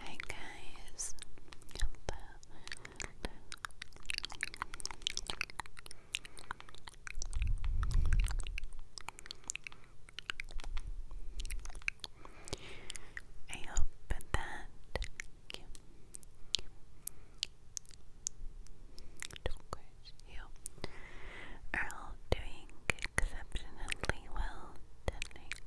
Hi guys, I hope that you, you are doing exceptionally well tonight.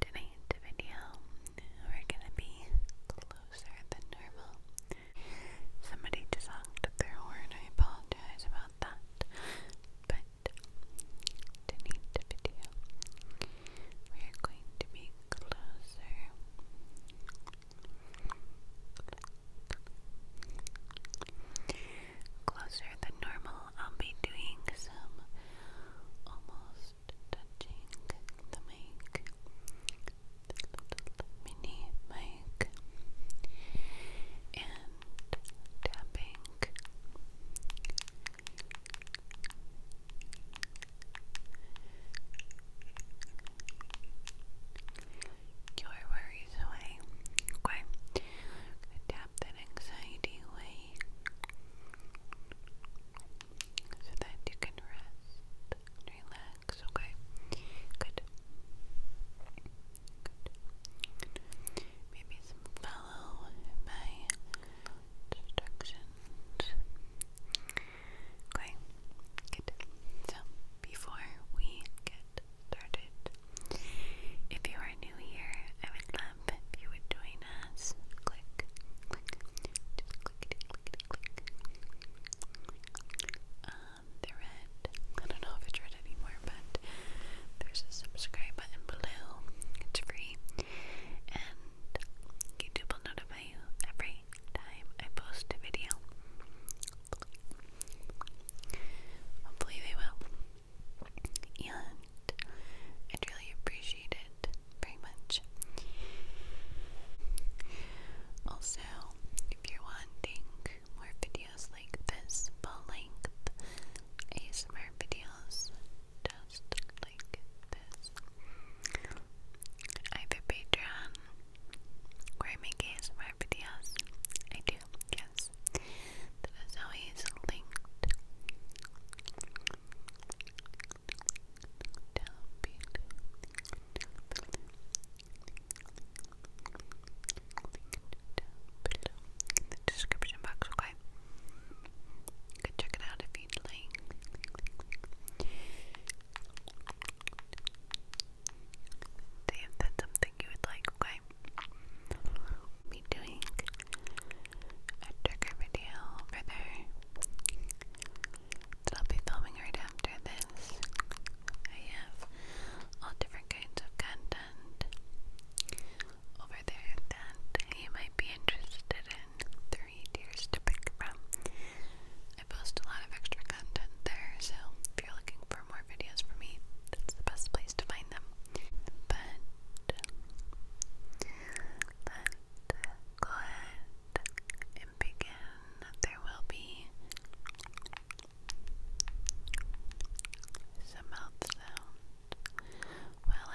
Tonight's video, we're gonna be closer than normal. Somebody just honked their horn, I apologize about that. But tonight's video, we're going to be closer Closer than normal, I'll be doing some almost touching the mic, the little mini mic, and tapping your worries away. Okay. tap that anxiety away so that you can rest relax. Okay. Good. Maybe some follow my instructions. Okay. Good. So before we get started. If you are new here, I would love if you would join us. Click, click, just click, click, click. Um, the red, I don't know if it's red anymore, but there's a subscribe button below. It's free, and YouTube will notify you every time I post a video. Hopefully they will. And I'd really appreciate it very much. Also, if you're wanting more videos like this, full length ASMR videos, just like this, either Patreon where I make ASMR videos. I do, yes. That is always linked down below. In the description box, okay? You check it out if you'd like if that's something you would like, okay? I'll be doing a trigger video for there that I'll be filming right after this. I have all different kinds of content over there that you might be interested in. Three tiers to pick from. I post a lot of extra content there, so if you're looking for more videos for me. That's the best place to find them. But, but and begin. There will be some mouth sound while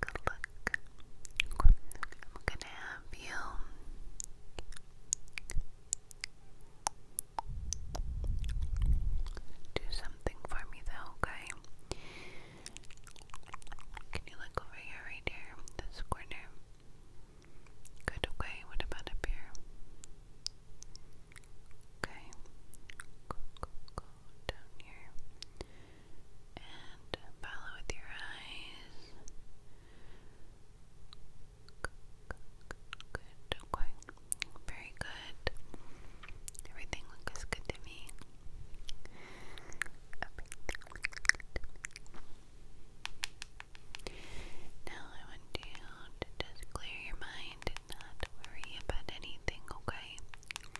take a I'm gonna have you do something for me though, okay? you look over here, right here, this corner? Good, okay. What about up here? Okay. down here and follow with your eyes. Good, Very good. Everything looks good to me. Now I want you to just clear your mind and not worry about anything, okay?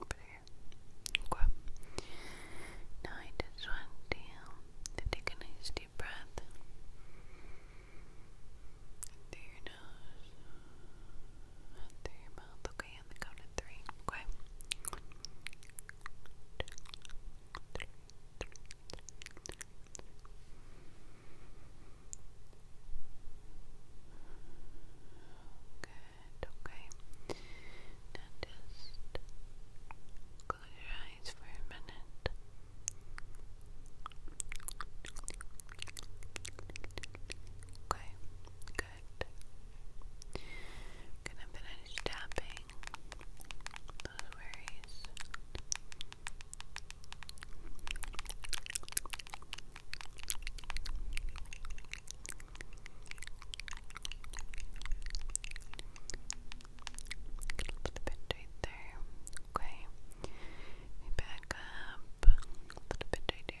Over Okay. Now I just want you to take a nice deep breath through your nose, out through your mouth. Okay, on count of three. Okay. Good, okay. just close your eyes for a minute. Okay, good. gonna finish tapping those worries. A little bit right there. Okay. back up. A little bit right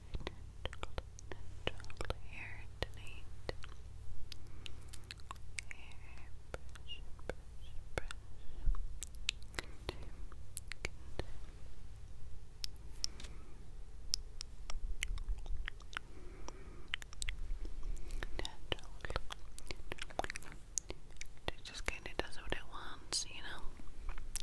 natural hair tonight. Hair brush, brush, brush. Good. Good. Natural. Natural. It just kind of does what it wants, you know.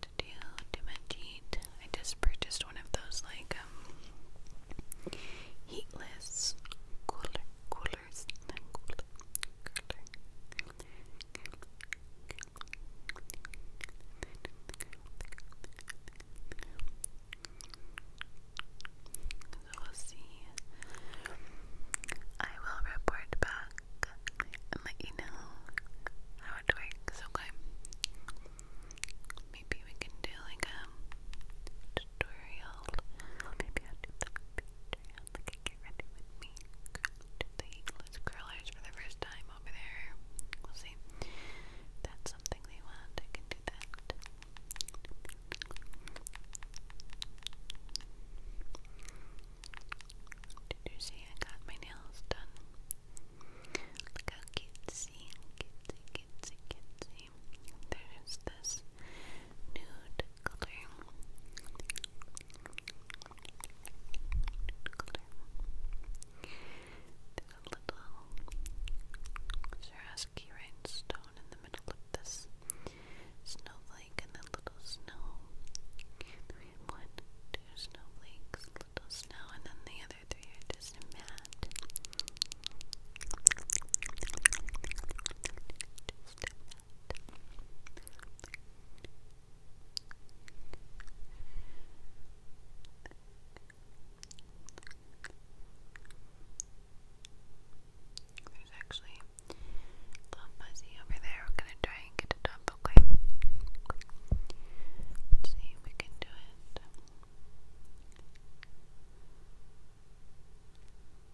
that deal to Majid. I just purchased one of those like um, heatless cooler coolers. Not cooler, cooler, cooler, cooler, cooler. So we'll see. I will report back and let you know how it works, okay? Maybe we can do like a um, tutorial. Maybe I'll do the tutorial. Like, get ready with me. Do the English curlers for the first time over there. We'll see. that's something they want. I can do that. Did you see I got my nails done? Look how cutesy, cutesy, cutesy, cutesy. There's this nude color. color. There's a little Swarovski rhinestone in the middle of this snowflake and a little snow. one, two snowflakes, little snow, and then the other other three there's actually a little fuzzy over there. We're gonna try and get it up, okay. Let's see if we can do it.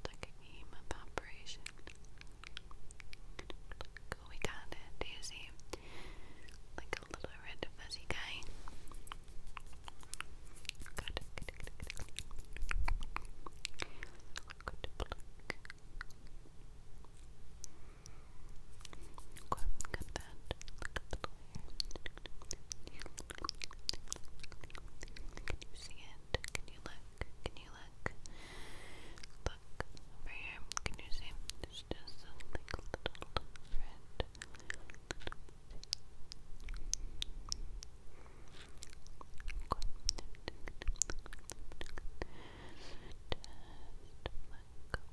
Like a game operation. Cool, we got it. Do you see? Like a little red fuzzy guy. Good, good, good, good. Good pluck. Okay, look at that. Look at the layer. Can you see it? Can you look? Can you look? Look over here. Can you see? It's just a little red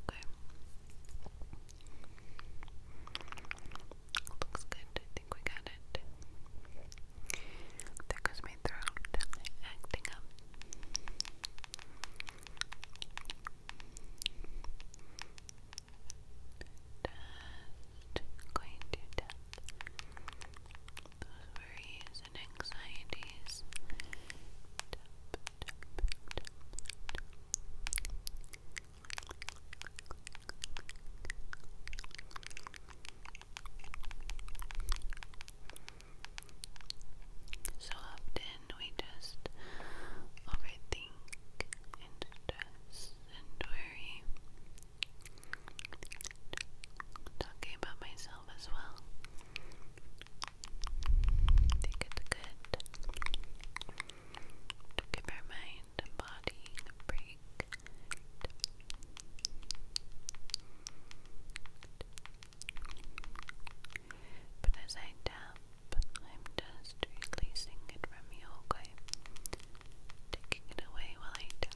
okay? Looks good, I think we got it. There goes my throat acting up. going to tap those worries and anxieties. So often we just overthink and stress and worry. Talking about myself as well. I think it's good to give our mind body a break. But as I tap, I'm just releasing it from you, okay? Taking it away while I tap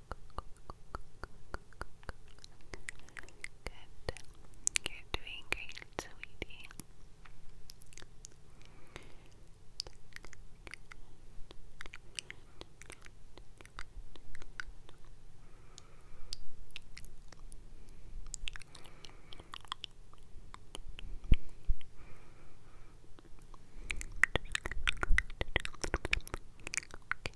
Good. You're doing great, sweetie.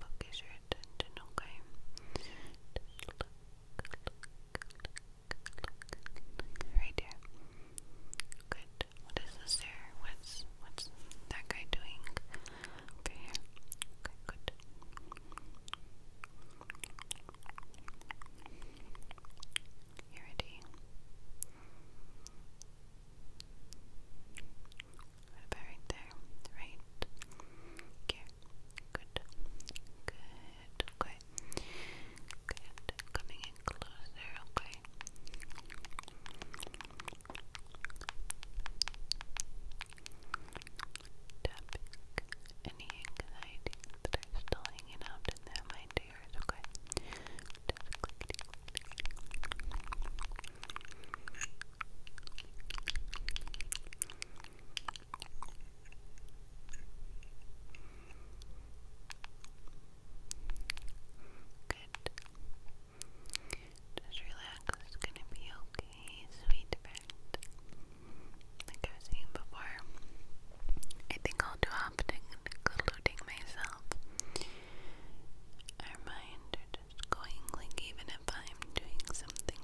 focus your okay? right there. Good. What is this there? What's what's that guy doing Okay, good. You ready? right there, right here, good, good, okay, good, coming in closer, okay Tapping any anxieties that are still hanging out in their mind to okay? Good. Just relax, it's gonna be okay, sweet Like I was saying before, I think I'll do often, including myself. Our mind, our just going like even if I'm doing something.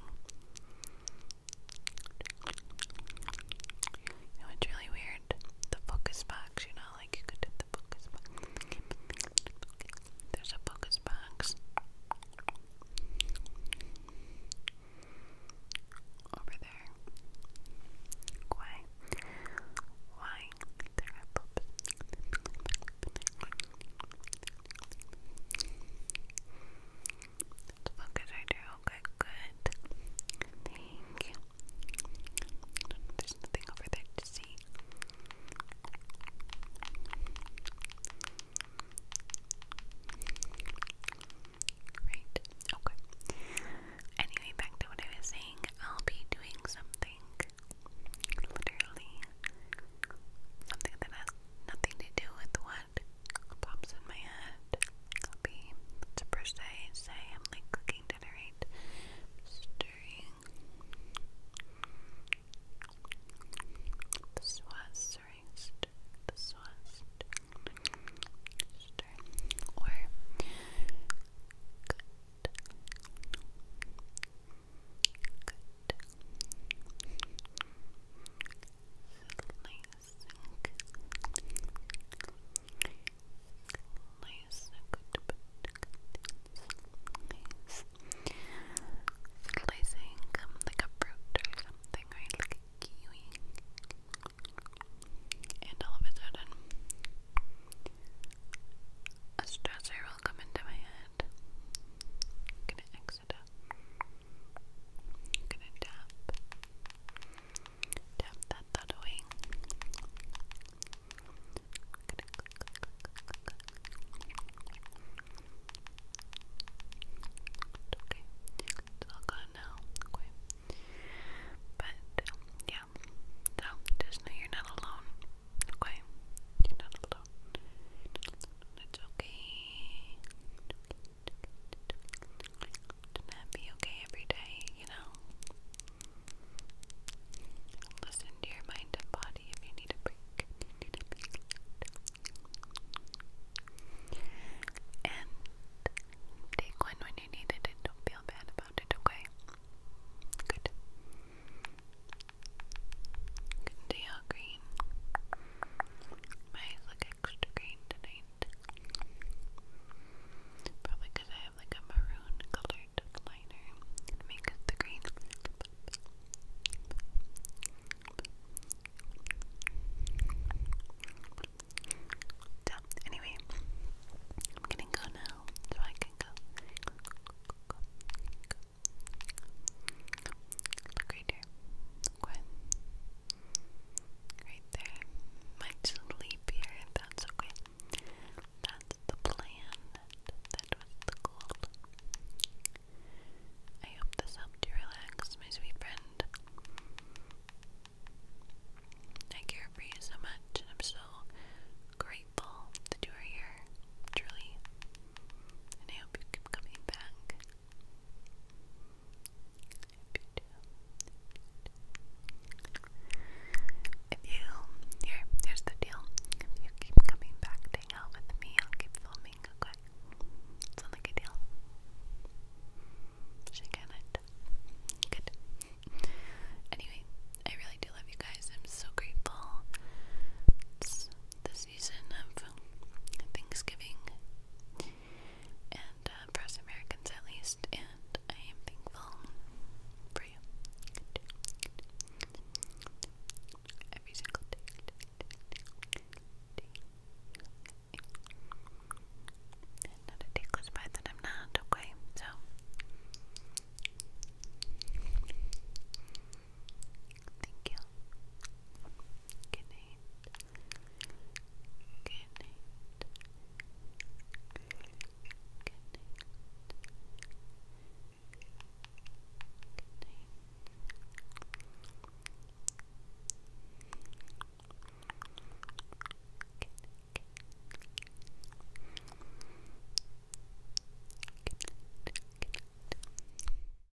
it's really weird. The focus box, you know, like you could the focus box. There's a focus box over there. Why? Why? There are focus Let's focus right there. Okay, good. Thank you. There's nothing over there to see. Right. Okay. Anyway, back to what I was saying. I'll be doing something literally Something that has nothing to do with what pops in my head. i be to per se say I'm like cooking dinner, right? Stirring. The sauce, or slicing um, like a fruit or something, right? kiwi. And all of a sudden, a stressor will come into my head mix I'm gonna tap, tap that that Okay, it's all good now. Okay, but yeah, so just know you're not alone. Okay, You're not alone. It's okay. To not be okay every day, you know. Listen to your mind and body if you need a break. And take one when you need it don't feel bad about it, okay? Good. Dia green. My eyes look extra green tonight. Probably because I have like a maroon colored liner make it the green. So, anyway, I'm gonna go now so I can go, Look right here. Look there. Might sleep here that's okay. That's the plan. That, was the goal. I hope this helped you relax, my sweet friend. I care for you so much, and I'm so grateful that you are here, truly. And I hope you keep coming back. If you here's the deal. you keep coming back to hang with me, I'll keep filming. Okay, sound like a deal? She can Good. Anyway, I really do love you guys. I'm so grateful. this season of Thanksgiving and uh, Americans at least, and I am thankful for you every single day. Not a day goes by that I'm not okay, so Thank you. Good night. Good night. Good night.